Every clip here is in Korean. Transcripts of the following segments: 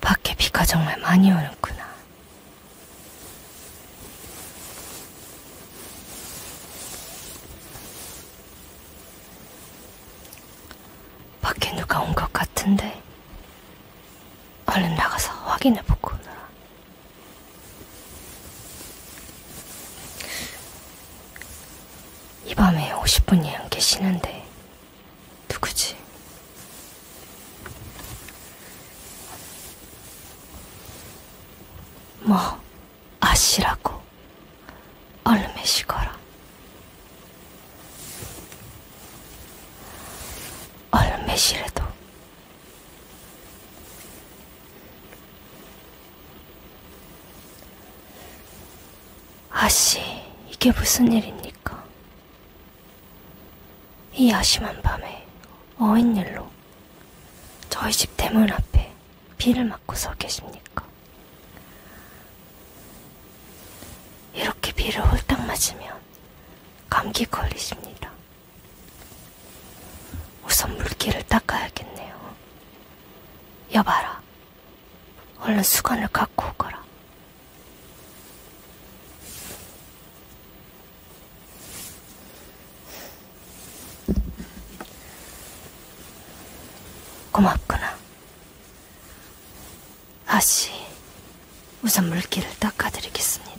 밖에 비가 정말 많이 오는구나. 밖에 누가 온 것 같은데 얼른 나가서 확인해보고 오느라 이 밤에 50분이 안 계시는데 누구지? 뭐 아시라고 얼음에 식어라. 얼음에 시래도 아씨 이게 무슨 일입니까? 이 야심한 밤에 어인일로 저희 집 대문 앞에 비를 맞고 서 계십니까? 이렇게 비를 홀딱 맞으면 감기 걸리십니다. 우선 물기를 닦아야겠네요. 여봐라. 얼른 수건을 갖고 오거라. 고맙구나. 아씨, 우선 물기를 닦아드리겠습니다.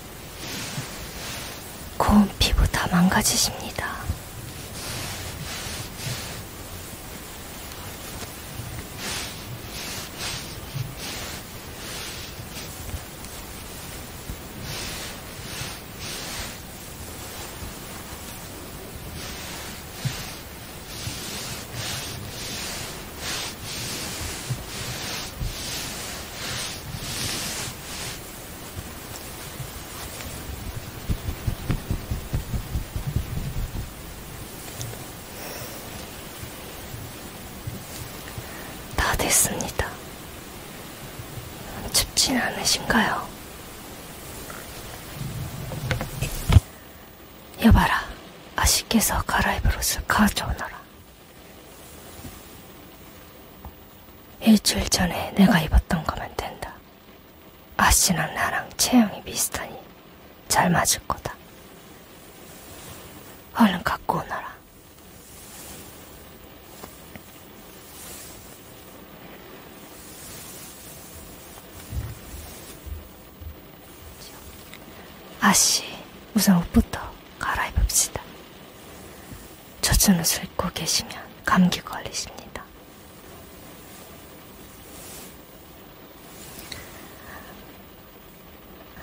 고운 피부 다 망가지십니다. 다 됐습니다. 춥진 않으신가요? 여봐라, 아씨께서 갈아입을 옷을 가져오너라. 일주일 전에 내가 입었던 거면 된다. 아씨랑 나랑 체형이 비슷하니 잘 맞을 거다. 얼른 갖고 오너라. 아씨, 우선 옷부터. 갈아입읍시다. 젖은 옷을 입고 계시면 감기 걸리십니다.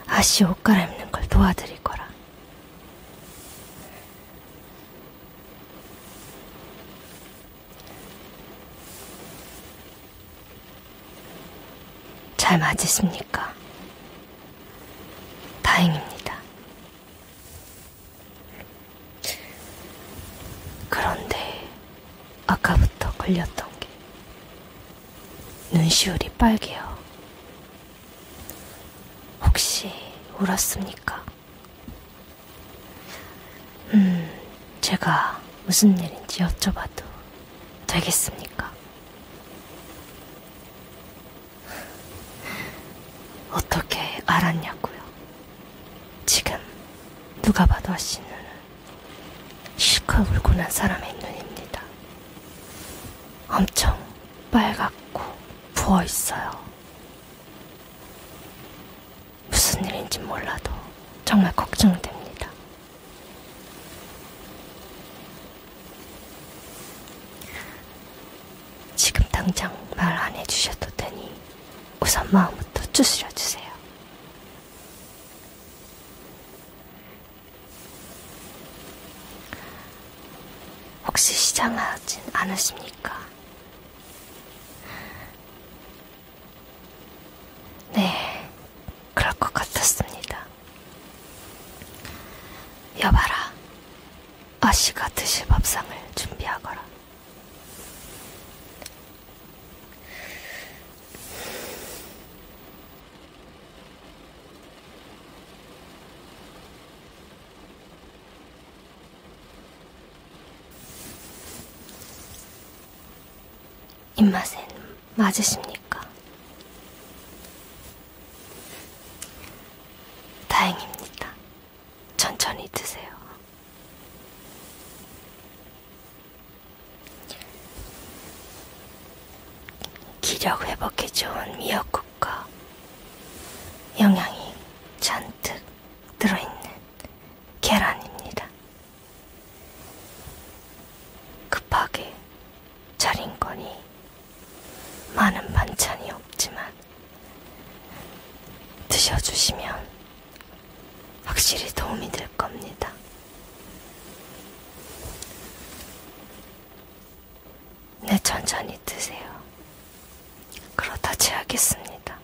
아씨 옷 갈아입는 걸 도와드릴 거라. 잘 맞으십니까? 다행입니다. 그런데 아까부터 걸렸던 게 눈시울이 빨개요. 혹시 울었습니까? 음, 제가 무슨 일인지 여쭤봐도 되겠습니까? 어떻게 알았냐고요? 지금 누가 봐도 아씨 눈은 실컷 울고 난 사람의 눈입니다. 엄청 빨갛고 부어 있어요. 무슨 일인지 몰라도 정말 걱정됩니다. 지금 당장 말 안 해주셔도 되니 우선 마음부터 추스려 주세요. 혹시 시장하진 않으십니까? 네, 그럴 것 같았습니다. 여봐라, 아씨가 드실 밥상을 준비하거라. 입맛엔 맞으십니까? 다행입니다. 천천히 드세요. 기력 회복에 좋은 미역국과 영양이 잔뜩 들어있는 계란입니다. 급하게 차린거니 많은 반찬이 없지만 드셔주시면 확실히 도움이 될 겁니다. 네, 천천히 드세요. 그러다 제하겠습니다.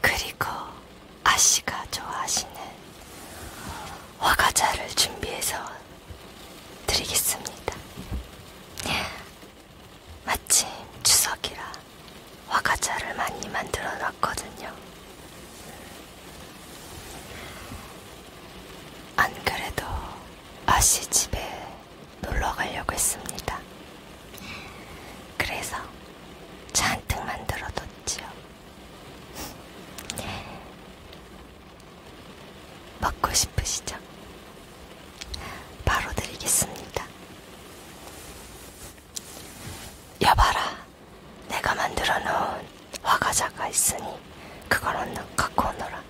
그리고 아씨가 좋아하시는 화과자를 준비해서 드리겠습니다. 마침 추석이라 화과자를 많이 만들어 놨거든요. 안 그래도 아씨 집에 놀러 가려고 했습니다. 그래서 잔뜩 만들어뒀지요. 먹고 싶으시죠? 바로 드리겠습니다. 여봐라, 내가 만들어 놓은 화과자가 있으니 그걸 갖고 오너라.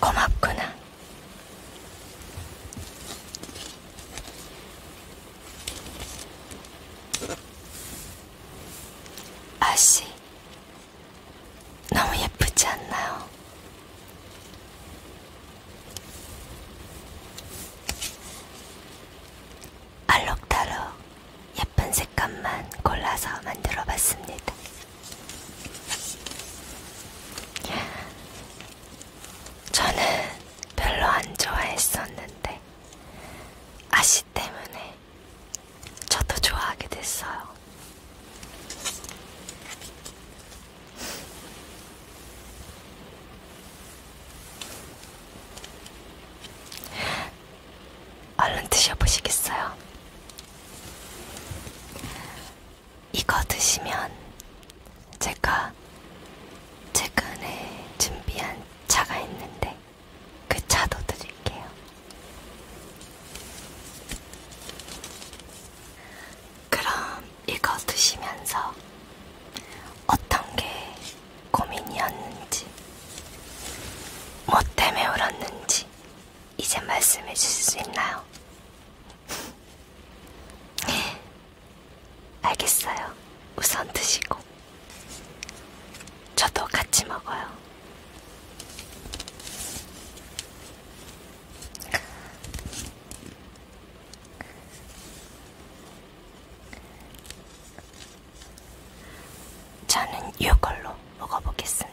고맙구나. 아씨, 너무 예쁘지 않나요? 알록달록 예쁜 색감만 골라서 만들어 봤습니다. 저는 별로 안 좋아했었는데, 아씨 때문에 저도 좋아하게 됐어요. 얼른 드셔보시겠어요? 이거 드시면 제가 최근에 준비한 차가 있는데 그 차도 드릴게요. 그럼 이거 드시면서 어떤 게 고민이었는지, 뭐 때문에 울었는지 이제 말씀해 주실 수 있나요? 알겠어요. 우선 드시고. 저도 같이 먹어요. 저는 이걸로 먹어보겠습니다.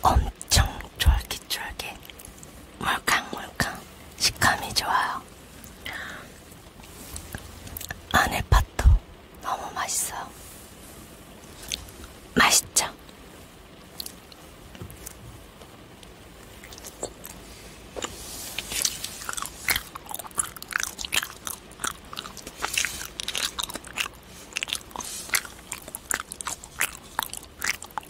엄청 쫄깃쫄깃 물캉물캉 식감이 좋아요. 안에 팥도 너무 맛있어요. 맛있죠?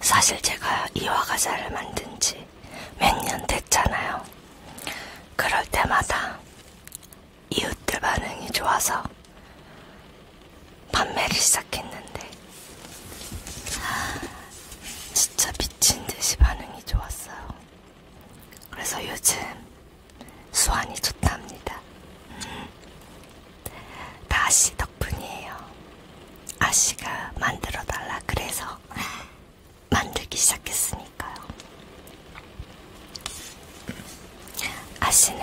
사실 제가 이화 과자를 만든 지몇 년 됐잖아요. 그럴 때마다 이웃들 반응이 좋아서 판매를 시작했는데 아, 진짜 미친 듯이 반응이 좋았어요. 그래서 요즘 수완이 좋답니다. 음, 다씨 덕분이에요. 아씨가 만들어 달라 그래서 만들기 시작했으니까요. 아씨는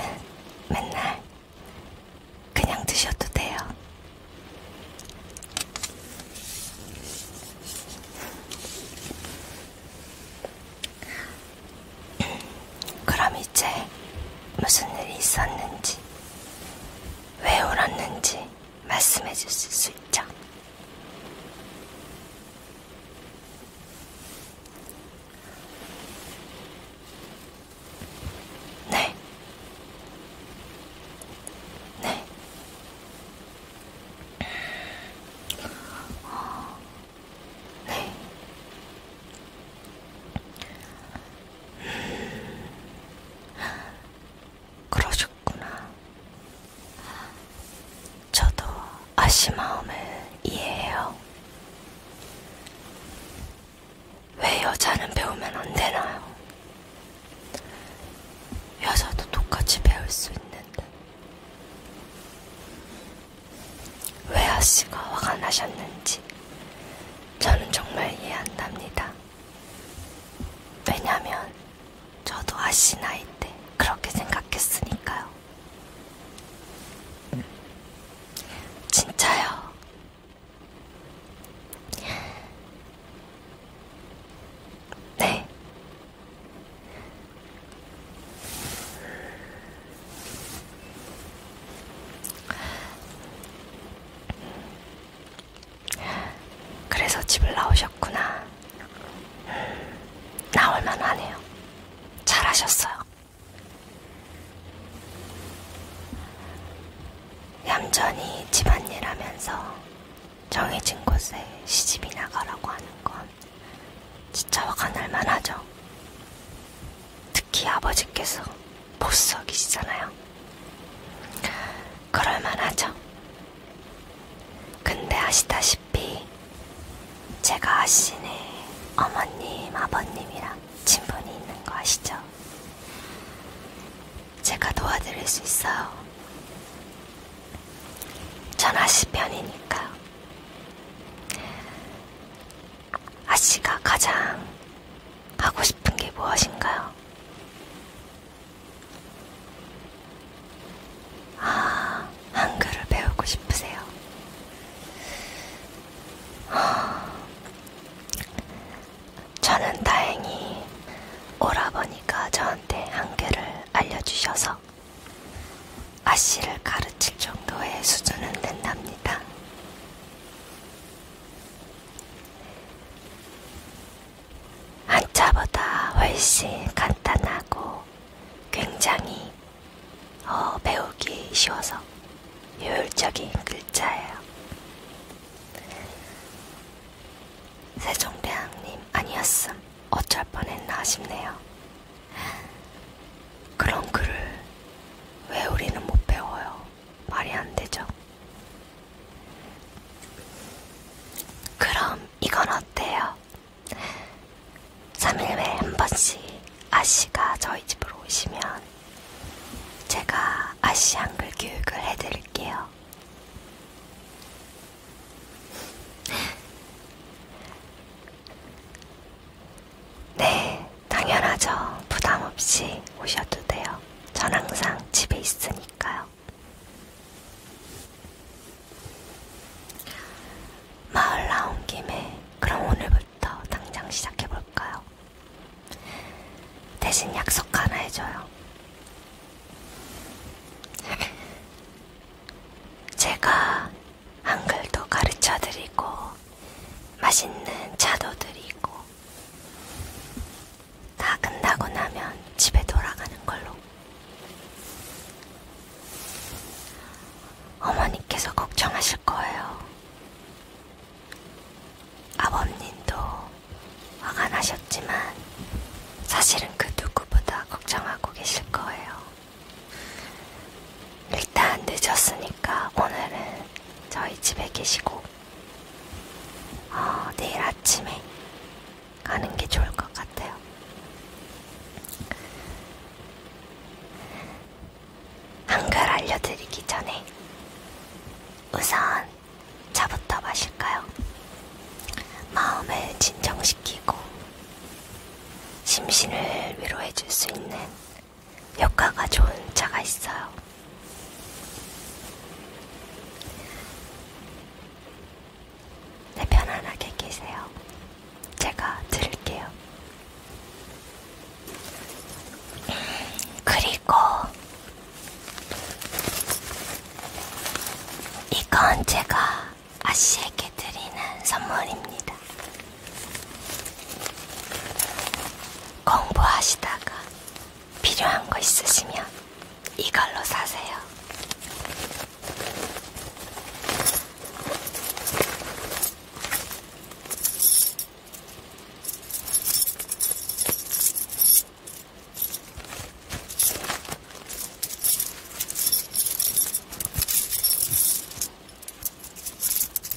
맨날 그냥 드셔도 돼요. 그럼 이제 무슨 일이 있었는지, 왜 울었는지 말씀해 주실 수 있죠? 네. 네. 어, 네. 그러셨구나. 저도 아씨 마음을 이해해요. 왜 여자는 배우면 안 되나요? 여자도 똑같이 배울 수 있는데. 왜 아씨가 화가 나셨는지 저는 정말 이해한답니다. 왜냐면 저도 아씨 나이 때 그렇게 생각했으니까요. 진짜요. 네. 그래서 집을 나오셨구나. 음, 나올만 하네요. 잘하셨어요. 얌전히 집안일 하면서 정해진 곳에 시집이 나가라고 하는 건 진짜 화가 날만 하죠. 특히 아버지께서 보석이시잖아요. 그럴만하죠. 근데 아시다시피 제가 아시네 어머님, 아버님이랑 친분이 있는 거 아시죠? 제가 도와드릴 수 있어요. 전 아시 편이니까요. 아씨가 가장 하고 싶은 게 무엇인가요? 아, 한글을 배우고 싶으세요? 아, 저는 다행히 오라버니가 저한테 한글을 알려주셔서 아씨를 가르칠 정도의 수준은 된답니다. 한자보다 훨씬 간단하고 굉장히 어, 배우기 쉬워서 효율적인 글자예요. 세종대왕님 아니었음 어쩔 뻔했나 싶네요. 그런 글을 왜 우리는 못 배워요? 말이 안 되죠. 그럼 이건 어때요? 3일에 한 번씩 아씨가 저희 집으로 오시면 제가 아씨 한글 교육을 해드릴게요. 네, 당연하죠. 부담 없이 오셔도 돼요. 전 항상 집에 있으니까요. 마을 나온 김에 그럼 오늘부터 당장 시작해볼까요? 대신 약속 하나 해줘요. 제가 한글도 가르쳐 드리고 맛있는 차도 드리고 다 끝나고 나면 집에 돌아가는 걸로. 어머니께서 걱정하실 거예요. 아버님도 화가 나셨지만 사실은 그 누구보다 걱정하고 계실 거예요. 일단 늦었으니까 오늘은 저희 집에 계시고 어, 내일 아침에 가는 게 좋을 것 같아요. 한글 알려드리기 전에 우선 차부터 마실까요? 마음을 진정시키고 심신을 위로해줄 수 있는 효과가 좋은 차가 있어요. 네, 편안하게 계세요. 제가 들을게요. 그리고 이건 제가 아씨에게 드리는 선물입니다. 공부하시다가 필요한 거 있으시면 이걸로 사세요.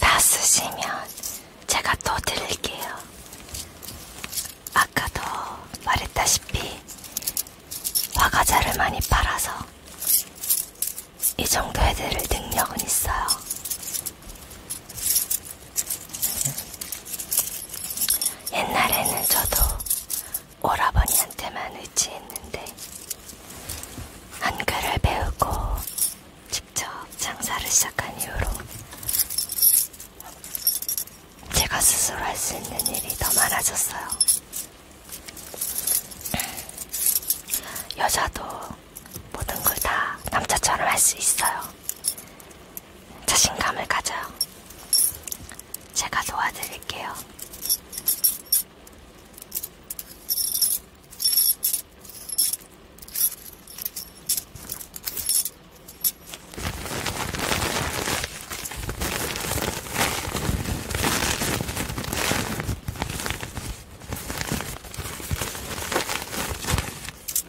다 쓰시면 제가 또 드릴게요. 아까도 말했다시피 화과자를 많이 팔아서 이 정도 해드릴 능력은 있어요. 옛날에는 저도 오라버니한테만 의지했는데 한글을 배우고 직접 장사를 시작한 이후로 제가 스스로 할 수 있는 일이 더 많아졌어요. 여자도 모든 걸 다 남자처럼 할 수 있어요. 자신감을 가져요. 제가 도와드릴게요.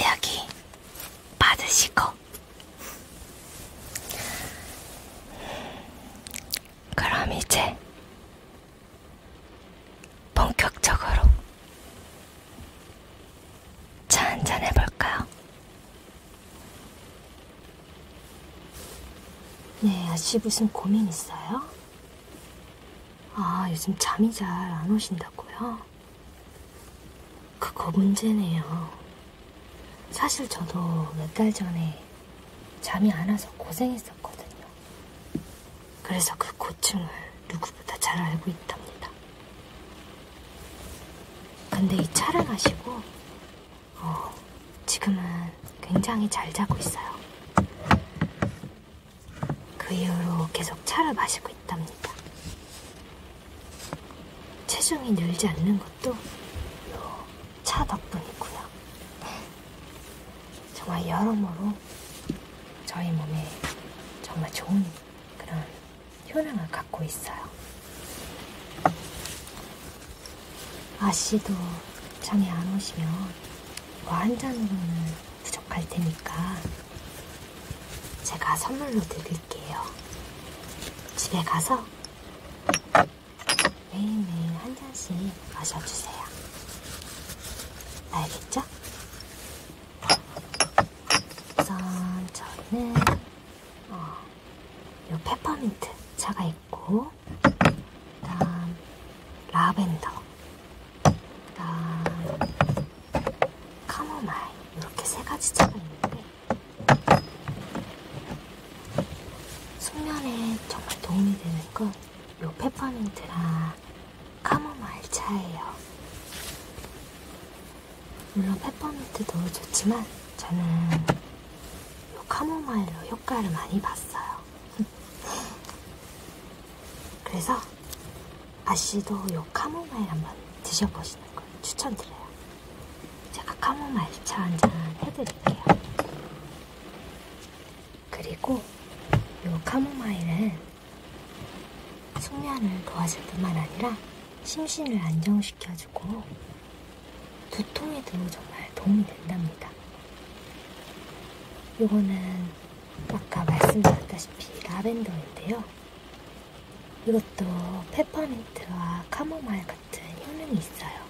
여기 받으시고 그럼 이제 본격적으로 차 한잔 해볼까요? 네, 아씨 무슨 고민 있어요? 아, 요즘 잠이 잘 안 오신다고요? 그거 문제네요. 사실 저도 몇 달 전에 잠이 안 와서 고생했었거든요. 그래서 그 고충을 누구보다 잘 알고 있답니다. 근데 이 차를 마시고 어, 지금은 굉장히 잘 자고 있어요. 그 이후로 계속 차를 마시고 있답니다. 체중이 늘지 않는 것도 차 덕분이고요. 정말 여러모로 저희 몸에 정말 좋은 그런 효능을 갖고 있어요. 아씨도 잠이 안 오시면 뭐한 잔으로는 부족할 테니까 제가 선물로 드릴게요. 집에 가서 매일매일 한 잔씩 마셔주세요. 알겠죠? 우선 저는 어, 요 페퍼민트 차가 있 있고, 그 다음, 라벤더, 그 다음, 카모마일, 이렇게 세 가지 차가 있는데, 숙면에 정말 도움이 되는 건, 요 페퍼민트랑 카모마일 차예요. 물론 페퍼민트도 좋지만, 저는 뭐 카모마일로 효과를 많이 봤어요. 그래서 아씨도 요 카모마일 한번 드셔보시는 걸 추천드려요. 제가 카모마일 차 한 잔 해드릴게요. 그리고 요 카모마일은 숙면을 도와줄 뿐만 아니라 심신을 안정시켜주고 두통에도 정말 도움이 된답니다. 요거는 아까 말씀드렸다시피 라벤더인데요. 이것도 페퍼민트와 카모마일 같은 효능이 있어요.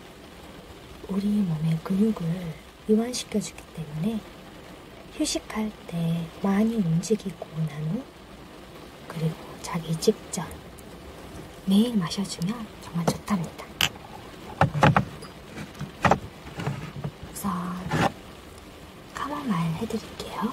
우리 몸의 근육을 이완시켜주기 때문에 휴식할 때 많이 움직이고 난 후, 그리고 자기 직전, 매일 마셔주면 정말 좋답니다. 우선 카모마일 해드릴게요.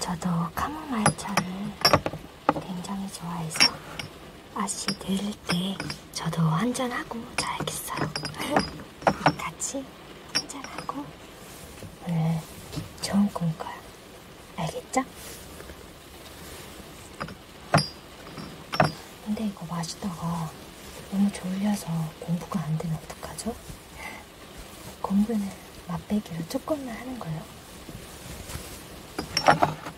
저도 카모마일 차를 굉장히 좋아해서 아저씨 들을 때 저도 한잔하고 자야겠어요. 같이 한잔하고 오늘 좋은 꿈 꿔요. 알겠죠? 근데 이거 마시다가 너무 졸려서 공부가 안 되면 어떡하죠? 공부는 맛배기로 조금만 하는 거예요.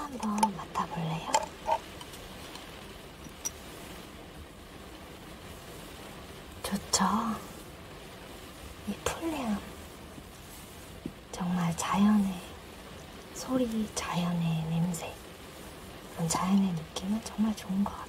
한번 맡아볼래요? 좋죠? 이 풀냄 정말 자연의 소리, 자연의 냄새, 그런 자연의 느낌은 정말 좋은 것 같아요.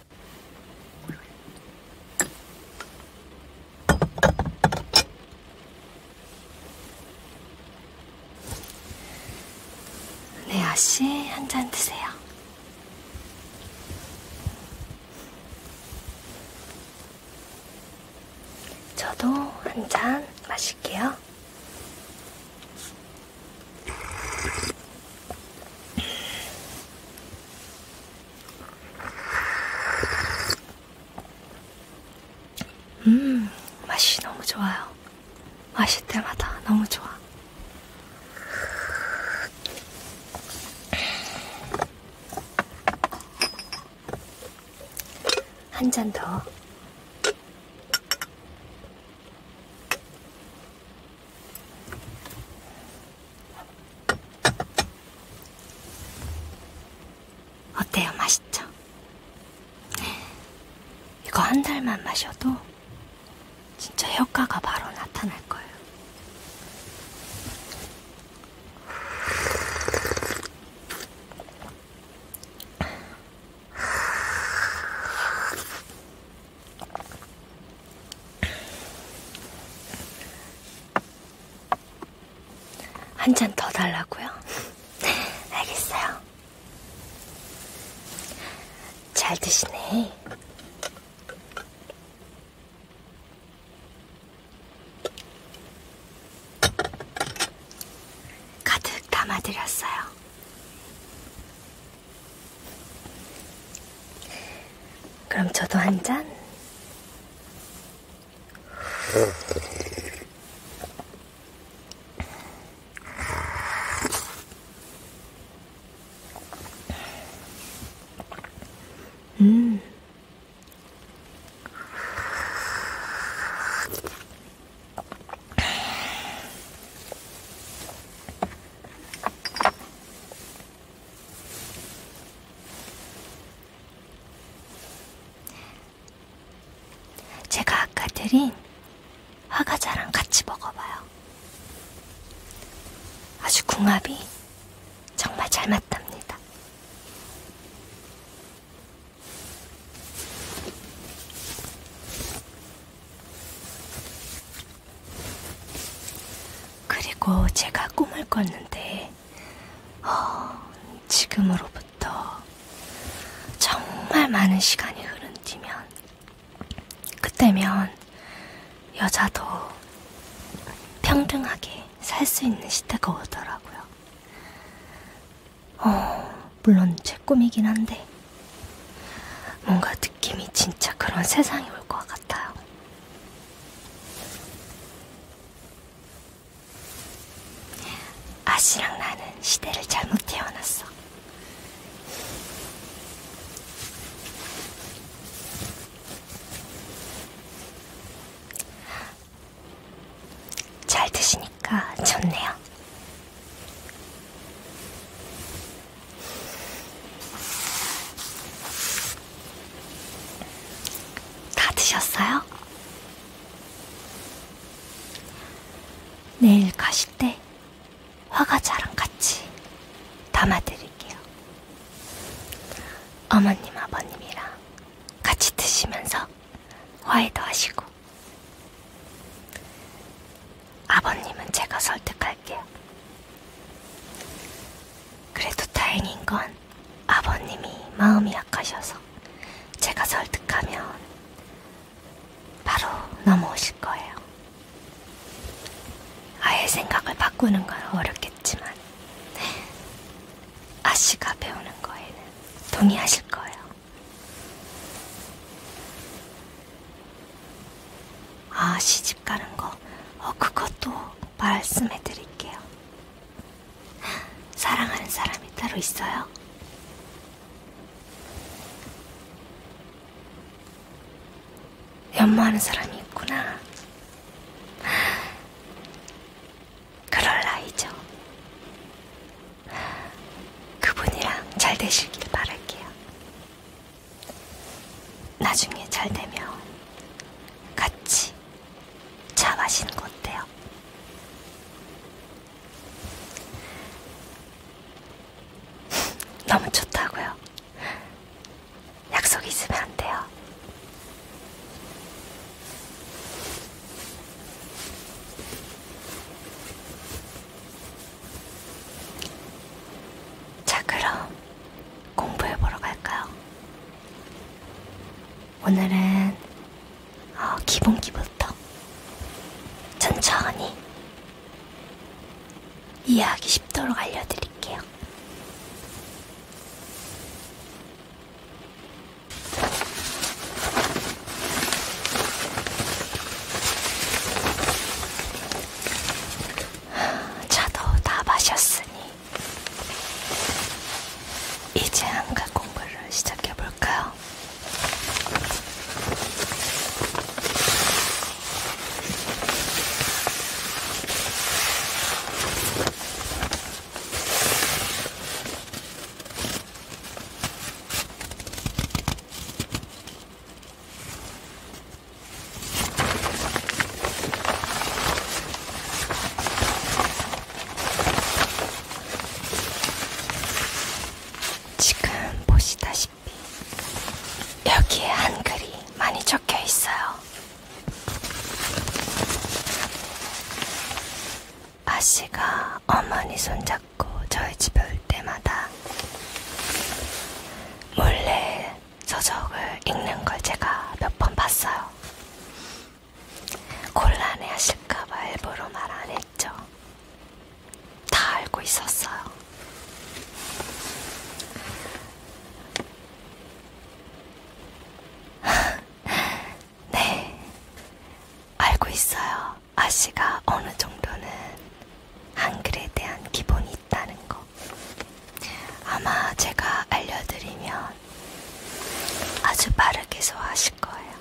네, 아씨, 한 잔 드세요. 저도 한 잔 마실게요. 음, 맛이 너무 좋아요. 마실 때마다 너무 좋아. 한 잔 더. 어때요? 맛있죠? 이거 한 달만 마셔도 진짜 효과가 바로 나타날 거예요. 한잔더 달라고요? 알겠어요. 잘 드시네. 가득 담아드렸어요. 그럼 저도 한 잔? 음. 제가 아까 드린 화과자랑 같이 먹어봐요. 아주 궁합이 정말 잘 맞답니다. 그리고 제가 꿈을 꿨는데, 어, 지금으로부터 정말 많은 시간이 흐른 뒤면, 그때면 여자도 평등하게 살 수 있는 시대가 오더라고요. 어, 물론 제 꿈이긴 한데, 뭔가 느낌이 진짜 그런 세상이 올것 같아요. 아씨랑 나는 시대를 잘못 태어났어. 잘 드시니까 좋네요. 다 드셨어요? 내일 가실 때 화과자랑 같이 담아드릴게요. 어머님, 아버님이랑 같이 드시면서 화해도 하시고. 아버님은 제가 설득할게요. 그래도 다행인 건 아버님이 마음이 약하셔서 제가 설득하면 바로 넘어오실 거예요. 아예 생각을 바꾸는 건 어렵겠지만 아씨가 배우는 거에는 동의하실 거예요. 아시지? 집 가는 거, 어, 그것도 말씀해 드릴게요. 사랑하는 사람이 따로 있어요? 연마하는 사람이 있구나. 그럴 나이죠. 그분이랑 잘 되시길 바랄게요. 나중에 잘 되면 같이 차 마시는 거 어때요? 너무 좋다고요. 약속 있으면 안 돼요. 자, 그럼 공부해보러 갈까요? 오늘은 어, 기본기부터 천천히 이해하기 쉽도록 알려드릴게요. 차도 다 마셨으니 이제 한가 공부를 시작해 볼까요? 지금 보시다시피 여기에 한글이 많이 적혀 있어요. 아씨가 어머니 손잡고 저희 집에 올 때마다 몰래 서적을 읽는 걸 제가 몇 번 봤어요. 곤란해 하실까봐 일부러 말 안 했죠. 다 알고 있었어요. 네, 알고 있어요. 아씨가 어느 정도는 한글에 대한 기본이 있다는 거. 아마 제가 알려드리면 아주 빠르게 소화하실 거예요.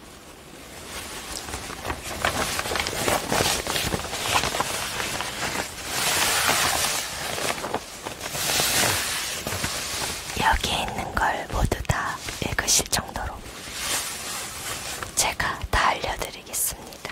여기에 있는 걸 모두 다 읽으실 정도로 제가 다 알려드리겠습니다.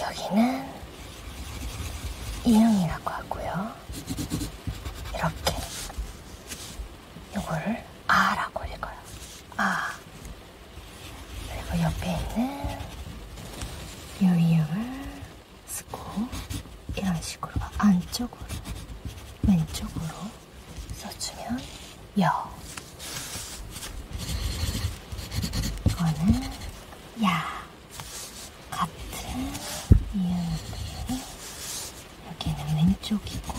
여기는 이응이라고 하고요. 이렇게 요거를 아라고 읽어요. 아. 그리고 옆에 있는 유이음을 쓰고 이런 식으로 안쪽으로 왼쪽으로 써주면 여. 이거는 야. 같은 이유인데 여기는 왼쪽이고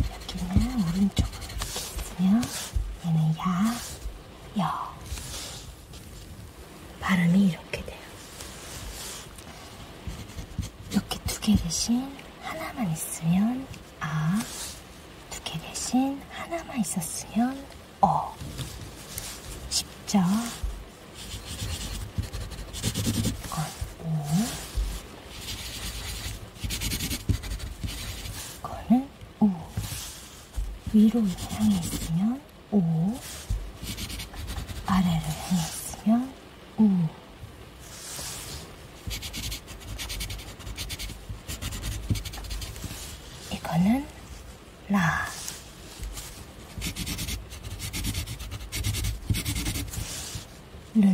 여기는 오른쪽으로 이렇게 있으면 얘는 야, 여 발음이 이렇게 돼요. 이렇게 두 개 대신 하나만 있으면 아, 두 개 대신 하나만 있었으면 어, 십자, 건, 오, 걸, 오, 위로 향했으면 오, 아래를 향했으면 오, 이거는 라. 르.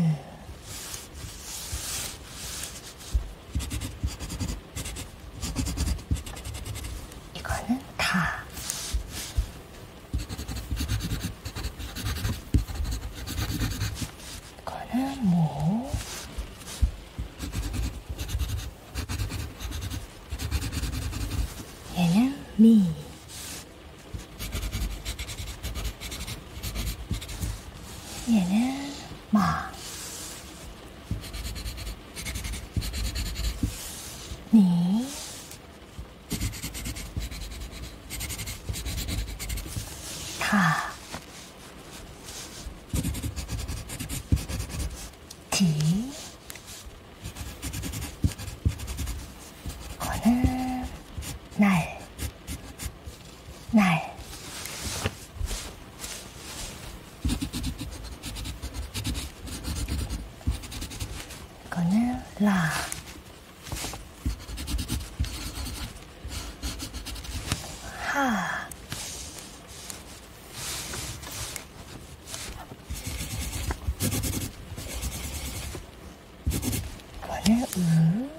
이거는 다. 이거는 모. and me. 얘는 마. 니. 다. D 오늘 날, 날 이거는 라 하, 이거를 우 음.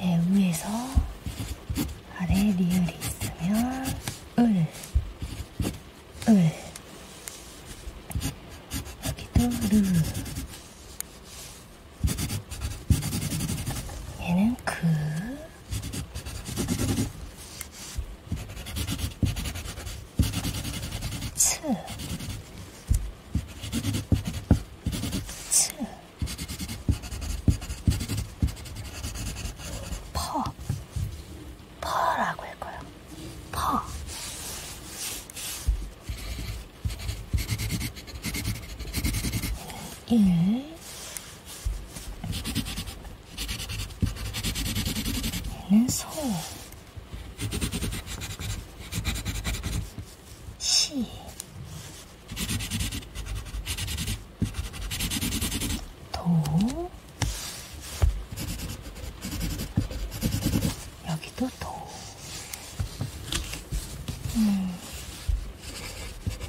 예, 위에서 아래 리을이 있으면 을, 을 여기도 르 얘는 그 츠. 츠. 퍼. 퍼라고 할 거예요. 퍼. 일. 그래서 시 도, 여기도 도, 음,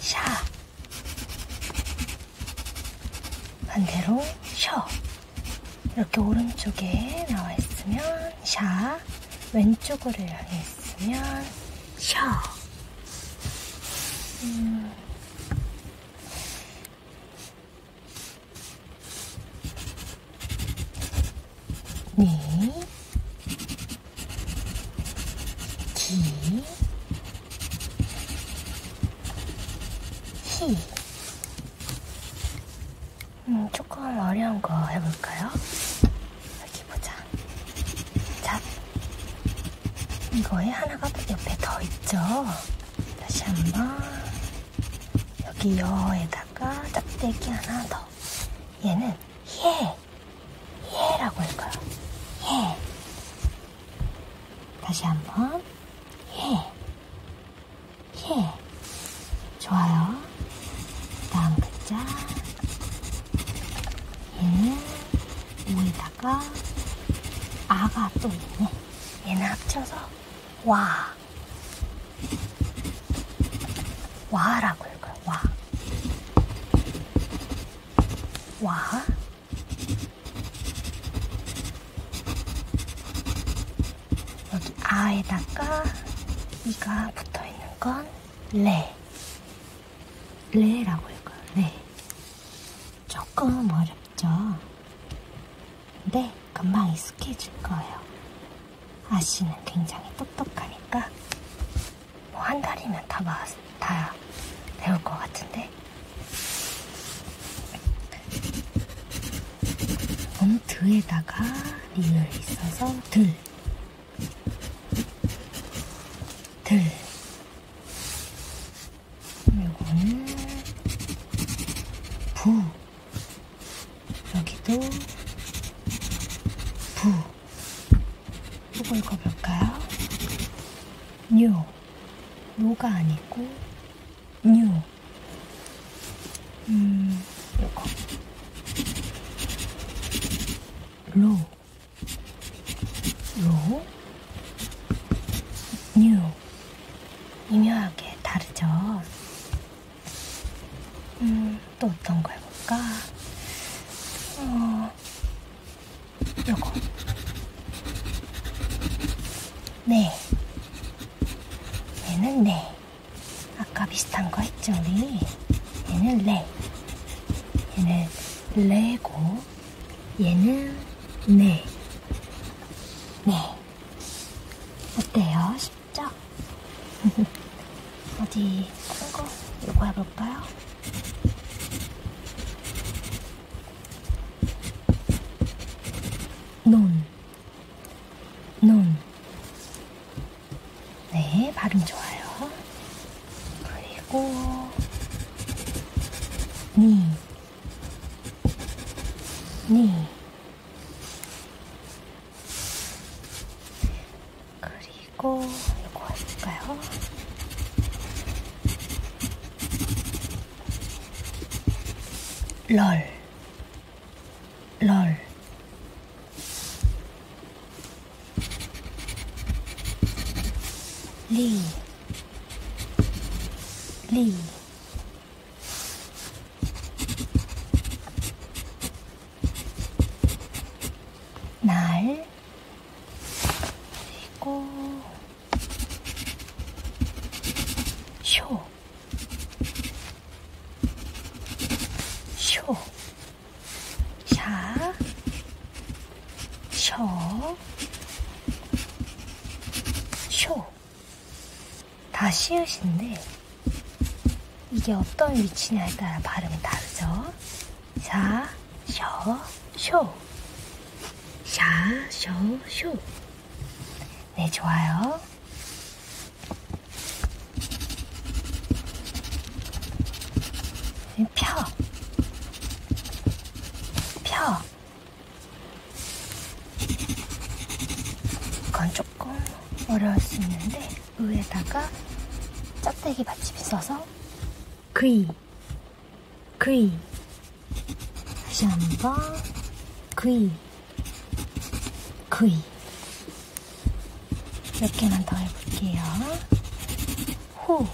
샤 반대로 셔 이렇게 오른쪽에 나와 있으면 샤 왼쪽으로 향해 있으면 셔 음. 니, 기, 히. 음, 조금 음, 어려운 거 해볼까요? 여기 보자. 잡. 이거에 하나가 옆에 더 있죠? 다시 한 번. 여기 여에다가 짝대기 하나 더. 얘는 예. 예라고 읽어요. 예. 다시 한번 예. 예. 좋아요. 다음 글자. 얘는 예. 위에다가 아가 또 있네. 얘는 합쳐서 와. 와라고 읽어요. 와. 와. 여기 아에다가 이가 붙어 있는 건 레. 레라고 읽어요. 레. 조금 어렵죠. 근데 금방 익숙해질 거예요. 아씨는 굉장히 똑똑하니까 뭐 한 달이면 다 마스. 다 배울 것 같은데 너무 드에다가 리을 있어서 들, 들. 요거는 부. 여기도 부. 요거 읽어볼까요? 뉴. 노가 아니고 뉴. 음, 요거. 로. 로. 뉴. 미묘하게 다르죠? 음, 또 어떤 걸 볼까? 어, 요거. 네. 얘는 네. 아까 비슷한 거 했죠, 우리? 얘는 레. 얘는 레고. 얘는 네. 네. 어때요? 쉽죠? 어디 큰 거? 이거 해볼까요? 논, 논. 네, 발음 좋아요. 그리고 니, 니. 그리고 이거 할까요? 럴, 럴. 리, 리. 날, 그리고 쇼, 쇼, 샤, 쇼, 쇼. 다 시옷인데 이게 어떤 위치냐에 따라 발음이 다르죠. 샤, 셔, 쇼. 샤, 셔, 쇼. 네, 좋아요. 펴. 펴. 이건 조금 어려울 수 있는데, 위에다가 짝대기 받침이 써서 그이 그이 다시 한번 그이 그이 몇 개만 더 해볼게요 호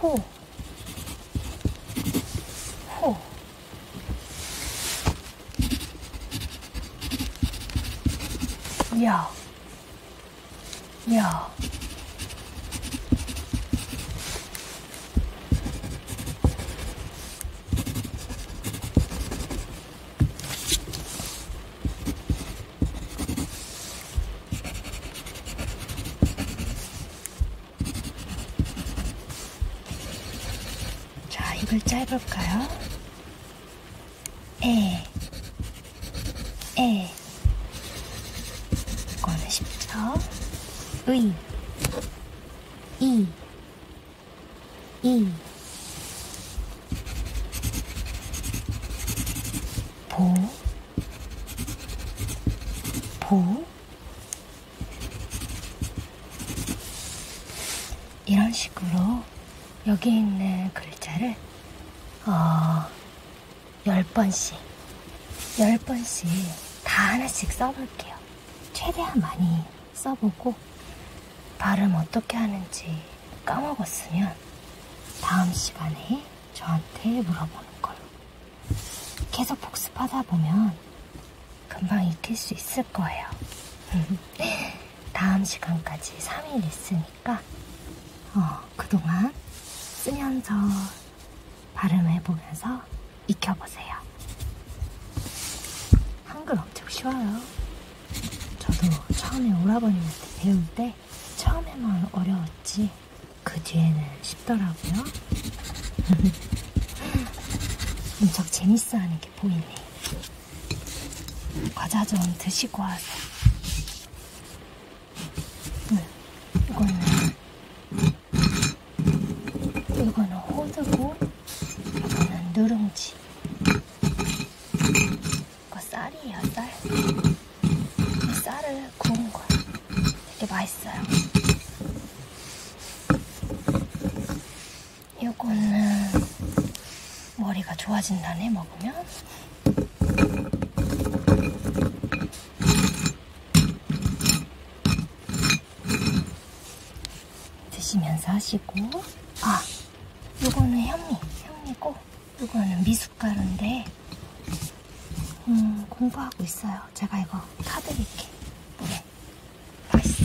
호, 호. 야, 이야. 자, 입을 짧을까요? 에. 예. 에 이거는 쉽죠? 의, 이, 이, 보, 보. 이런 식으로 여기 있는 글자를 어, 열 번씩, 열 번씩 다 하나씩 써볼게요. 최대한 많이 써보고 발음 어떻게 하는지 까먹었으면 다음 시간에 저한테 물어보는 걸로. 계속 복습하다 보면 금방 익힐 수 있을 거예요. 다음 시간까지 3일 리슨이에요. 거니까 어, 그동안 쓰면서 발음해 보면서 익혀보세요. 한글 엄청 쉬워요. 저도 처음에 오라버님한테 배울 때 처음에만 어려웠지 그 뒤에는 쉽더라고요. 엄청 재밌어하는 게 보이네. 과자 좀 드시고 와서. 네, 이거는 이거는 호두고 이거는 누룽지 이거 쌀이에요 쌀 쌀을 구운 거예요 되게 맛있어요 이거는 머리가 좋아진다네 먹으면 드시면서 하시고 아 요거는 현미 현미고 요거는 미숫가루인데 음 공부하고 있어요 제가 이거 타드릴게 네. 맛있어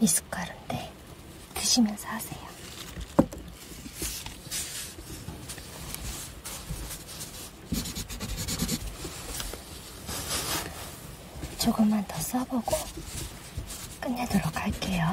미숫가루인데 드시면서 하세요. 조금만 더 써보고 끝내도록 할게요.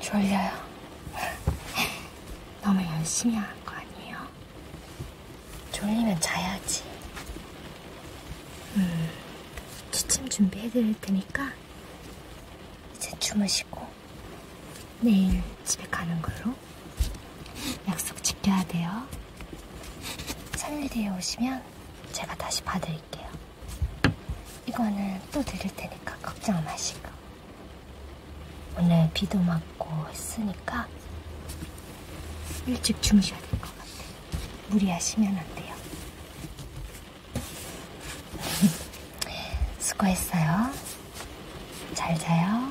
졸려요. 너무 열심히 한거 아니에요? 졸리면 자야지. 음, 취침 준비해드릴 테니까 이제 주무시고 내일 집에 가는 걸로 약속 지켜야 돼요. 산일대에 오시면 제가 다시 봐드릴게요. 이거는 또 드릴 테니까 걱정 마시고. 오늘 비도 맞고 했으니까 일찍 주무셔야 될 것 같아요. 무리하시면 안 돼요. 수고했어요. 잘 자요.